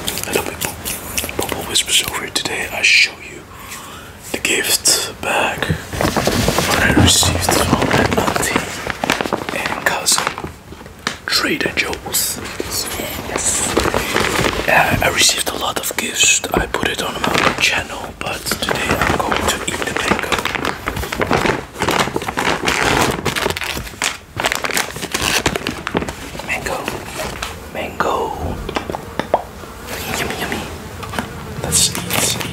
Hello people, Bubble Whispers over here. Today I show you the gift bag that I received from my auntie and cousin Trader Joe's. Uh, I received a lot of gifts. I put it on my channel, but today I'm going to eat the mango. Mango. Mango. Yummy, yummy. Let's eat,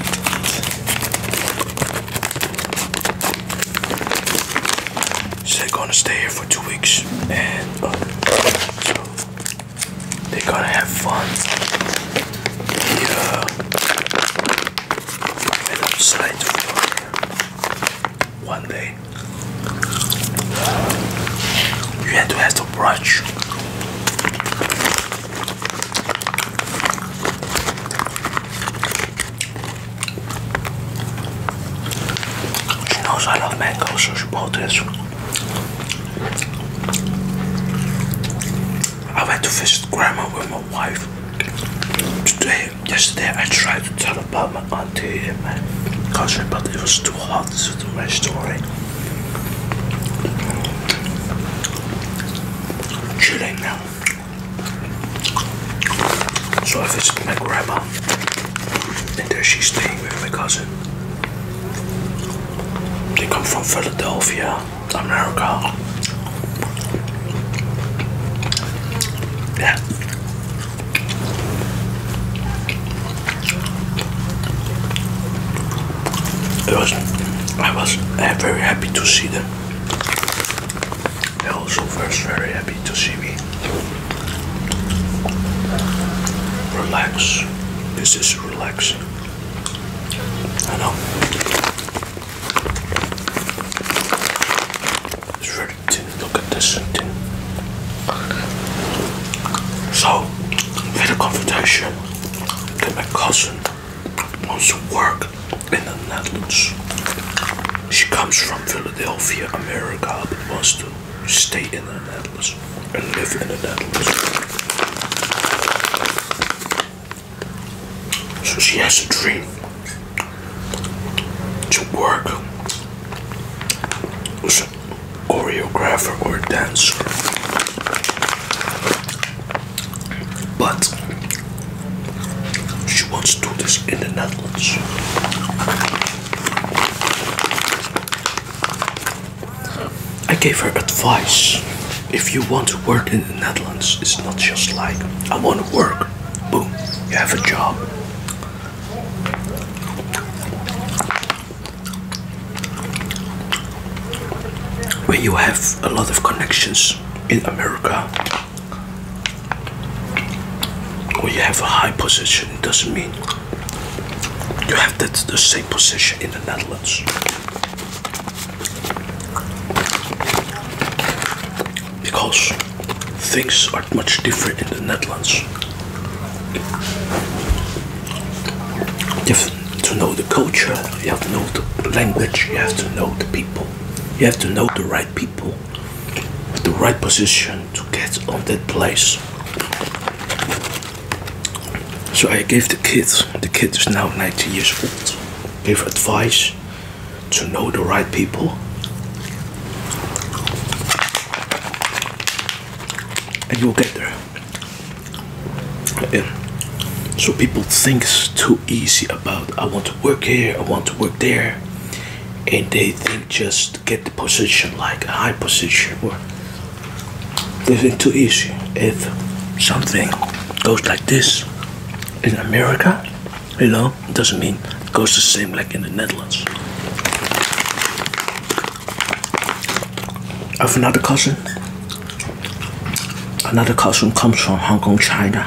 they're gonna stay here for two weeks and uh, they're gonna have fun. Yeah. Uh, and outside for one day. You had to have some brunch. She knows I love mango, she bought this. I went to visit grandma with my wife today yesterday I tried to tell about my auntie and my cousin, but it was too hot to do my story. I'm chilling now. So I visited my grandma, and there she's staying with my cousin. They come from Philadelphia, America. Yeah. It was, I was eh, very happy to see them. They also were very happy to see me. Relax. This is relax. I know. It's very too. Look at this thing. So, little confrontation that my cousin wants to work in the Netherlands. She comes from Philadelphia, America, but wants to stay in the Netherlands and live in the Netherlands. So she has a dream to work as a choreographer or dancer, but she wants to do this in the Netherlands. I gave her advice. If you want to work in the Netherlands, it's not just like I want to work. Boom, you have a job. When you have a lot of connections in America, or you have a high position, it doesn't mean you have that the same position in the Netherlands because things are much different in the Netherlands. You have to know the culture, you have to know the language, you have to know the people, you have to know the right people, the right position to get on that place. So I gave the kids. the kid is now 19 years old, gave advice to know the right people and you'll get there so people think it's too easy about i want to work here i want to work there and they think just get the position like a high position or they think too easy if something goes like this in America, you know, doesn't mean it goes the same like in the Netherlands. have another cousin. Another cousin comes from Hong Kong, China.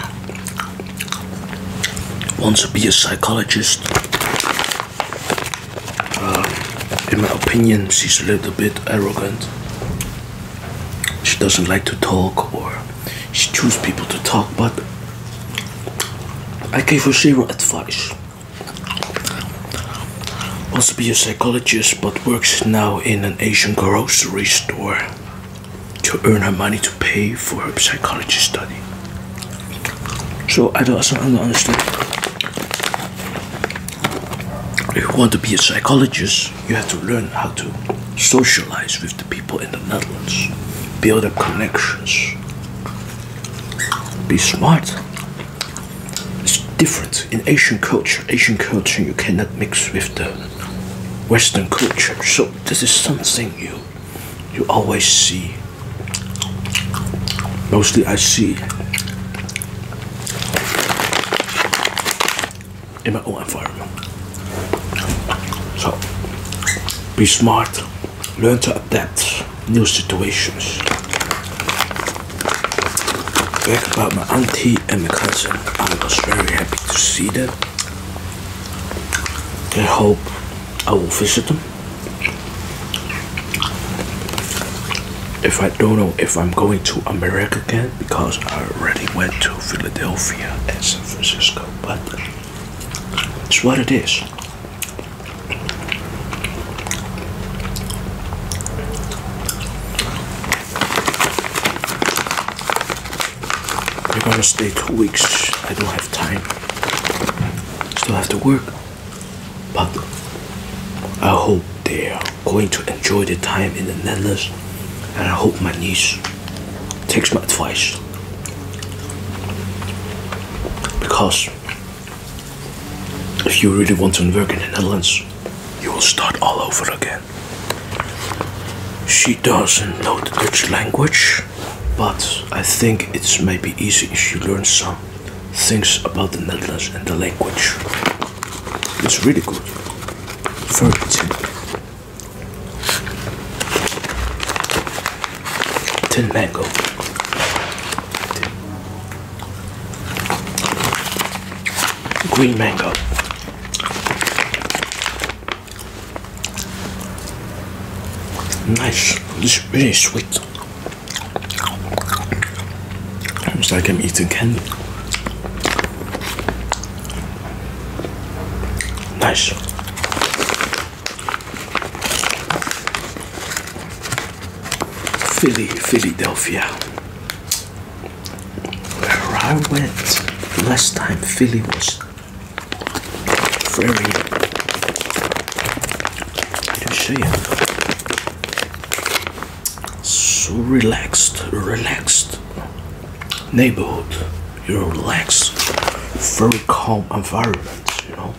Wants to be a psychologist. Uh, in my opinion, she's a little bit arrogant she doesn't like to talk or she chooses people to talk but I gave her zero advice. Wants be a psychologist but works now in an Asian grocery store to earn her money to pay for her psychology study. So I don't, I don't understand. If you want to be a psychologist, you have to learn how to socialize with the people in the Netherlands, build up connections, be smart. It's different in Asian culture. Asian culture, you cannot mix with the Western culture. So this is something you you always see. Mostly, I see in my own environment. So, be smart, learn to adapt new situations. Back about my auntie and my cousin, I was very happy to see them. I hope I will visit them if I don't know if I'm going to America again because I already went to Philadelphia and San Francisco, but it's what it is. You're gonna stay two weeks. I don't have time. Still have to work, but I hope they are going to enjoy the time in the Netherlands and I hope my niece takes my advice because if you really want to work in the Netherlands you will start all over again. She doesn't know the Dutch language but I think it's maybe easy if she learns some things about the Netherlands and the language. It's really good. 32. Tin mango. Green mango. Nice. This is really sweet. Almost like I'm eating candy. Nice. Philly, Philadelphia. Where I went last time, Philly was very. I didn't show you so relaxed, relaxed neighborhood. You you're relaxed, very calm environment. You know,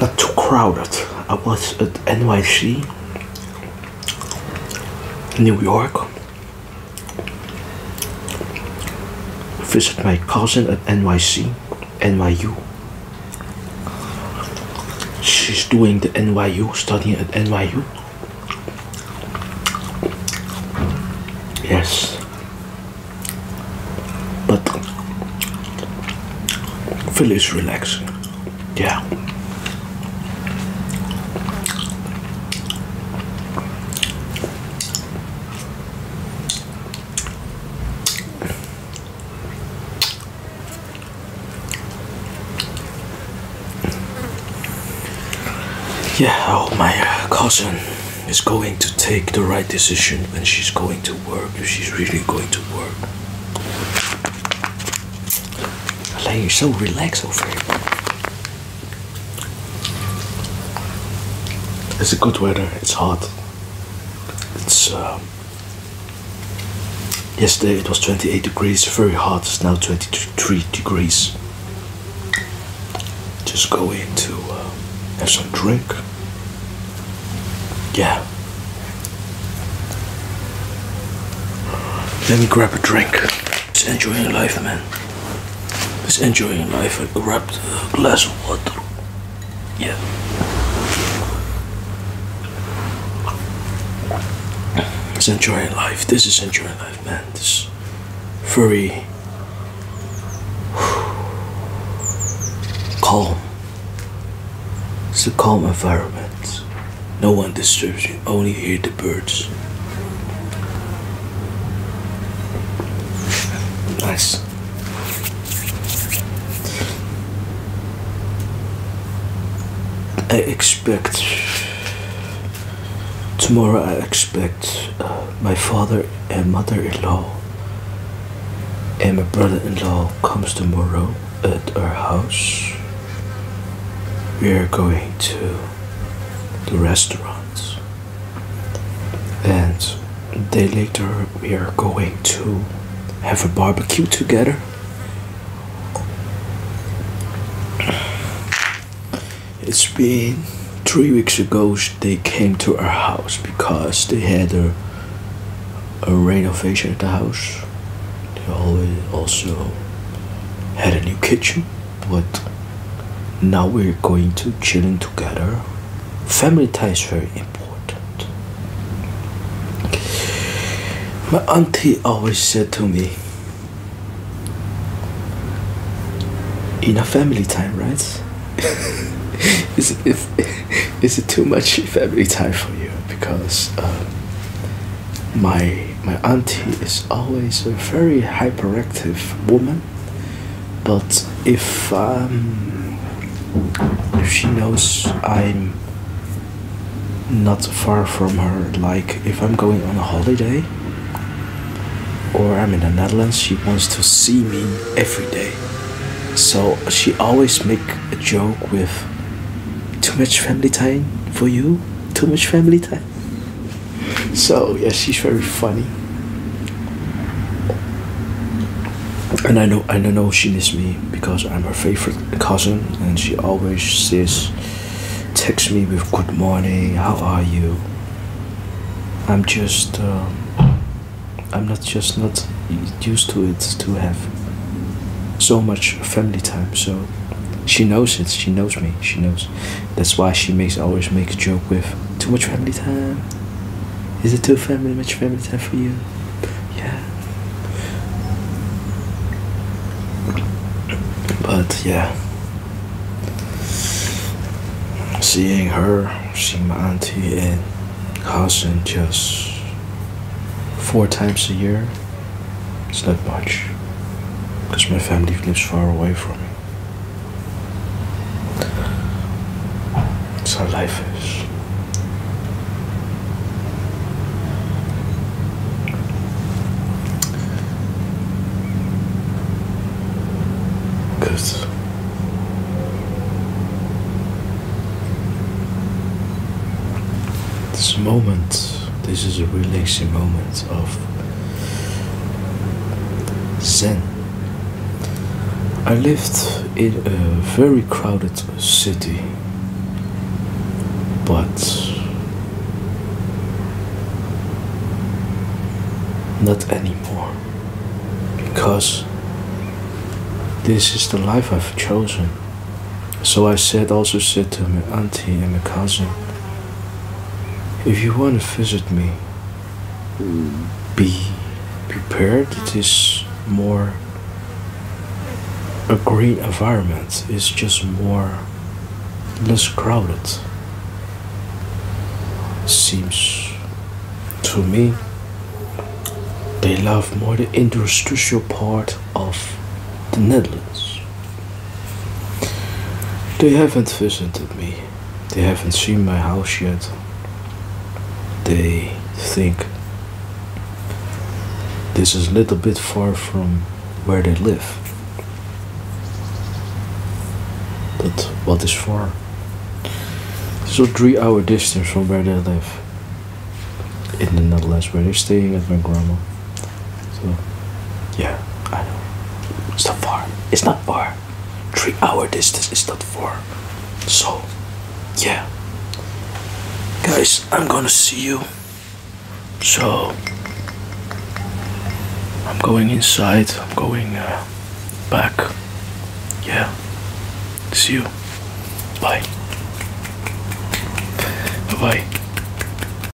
not too crowded. I was at NYC, New York. Visit my cousin at NYC, NYU. She's doing the NYU, studying at NYU. Yes. But Phyllis relax. Yeah. Yeah, oh, my uh, cousin is going to take the right decision when she's going to work, if she's really going to work. Alain, you're so relaxed over here. It's a good weather, it's hot. It's um, Yesterday it was 28 degrees, very hot, it's now 23 degrees. Just go in to uh, have some drink. Yeah. Let me grab a drink. Just enjoying life, man. Just enjoying life. I grabbed a glass of water. Yeah. It's enjoying life. This is enjoying life, man. This very calm. It's a calm environment. No one disturbs you, only hear the birds. Nice. I expect tomorrow. I expect uh, my father and mother-in-law and my brother-in-law comes tomorrow at our house. We are going to the restaurants and day later we are going to have a barbecue together it's been three weeks ago they came to our house because they had a, a renovation at the house they also had a new kitchen but now we're going to chilling together family tie is very important my auntie always said to me in a family time right is, it, is, is it too much family time for you because um, my my auntie is always a very hyperactive woman but um, if she knows I'm not far from her, like if I'm going on a holiday or I'm in the Netherlands, she wants to see me every day. So she always make a joke with too much family time for you, too much family time. So, yeah, she's very funny. And I know, I know she misses me because I'm her favorite cousin, and she always says, texts me with "Good morning, how are you?" I'm just, um, I'm not just not used to it to have so much family time. So, she knows it. She knows me. She knows. That's why she makes always makes joke with too much family time. Is it too family much family time for you? Yeah. But yeah. Seeing her, seeing my auntie and cousin just four times a year, it's not much. Because my family lives far away from me. That's life is. Because this moment, this is a relaxing moment of Zen. I lived in a very crowded city, but not anymore because this is the life I've chosen. So I said, also said to my auntie and my cousin, if you want to visit me, be prepared. It is more a green environment. It's just more less crowded. Seems to me they love more the industrial part of the Netherlands. They haven't visited me. They haven't seen my house yet. They think this is a little bit far from where they live. But what is far? So three hour distance from where they live. In the Netherlands, where they're staying at my grandma. So, yeah, I know. It's not far. It's not far. Three hour distance is not far. So, yeah. Guys, I'm gonna see you. So, I'm going inside. I'm going uh, back. Yeah. See you. Bye bye.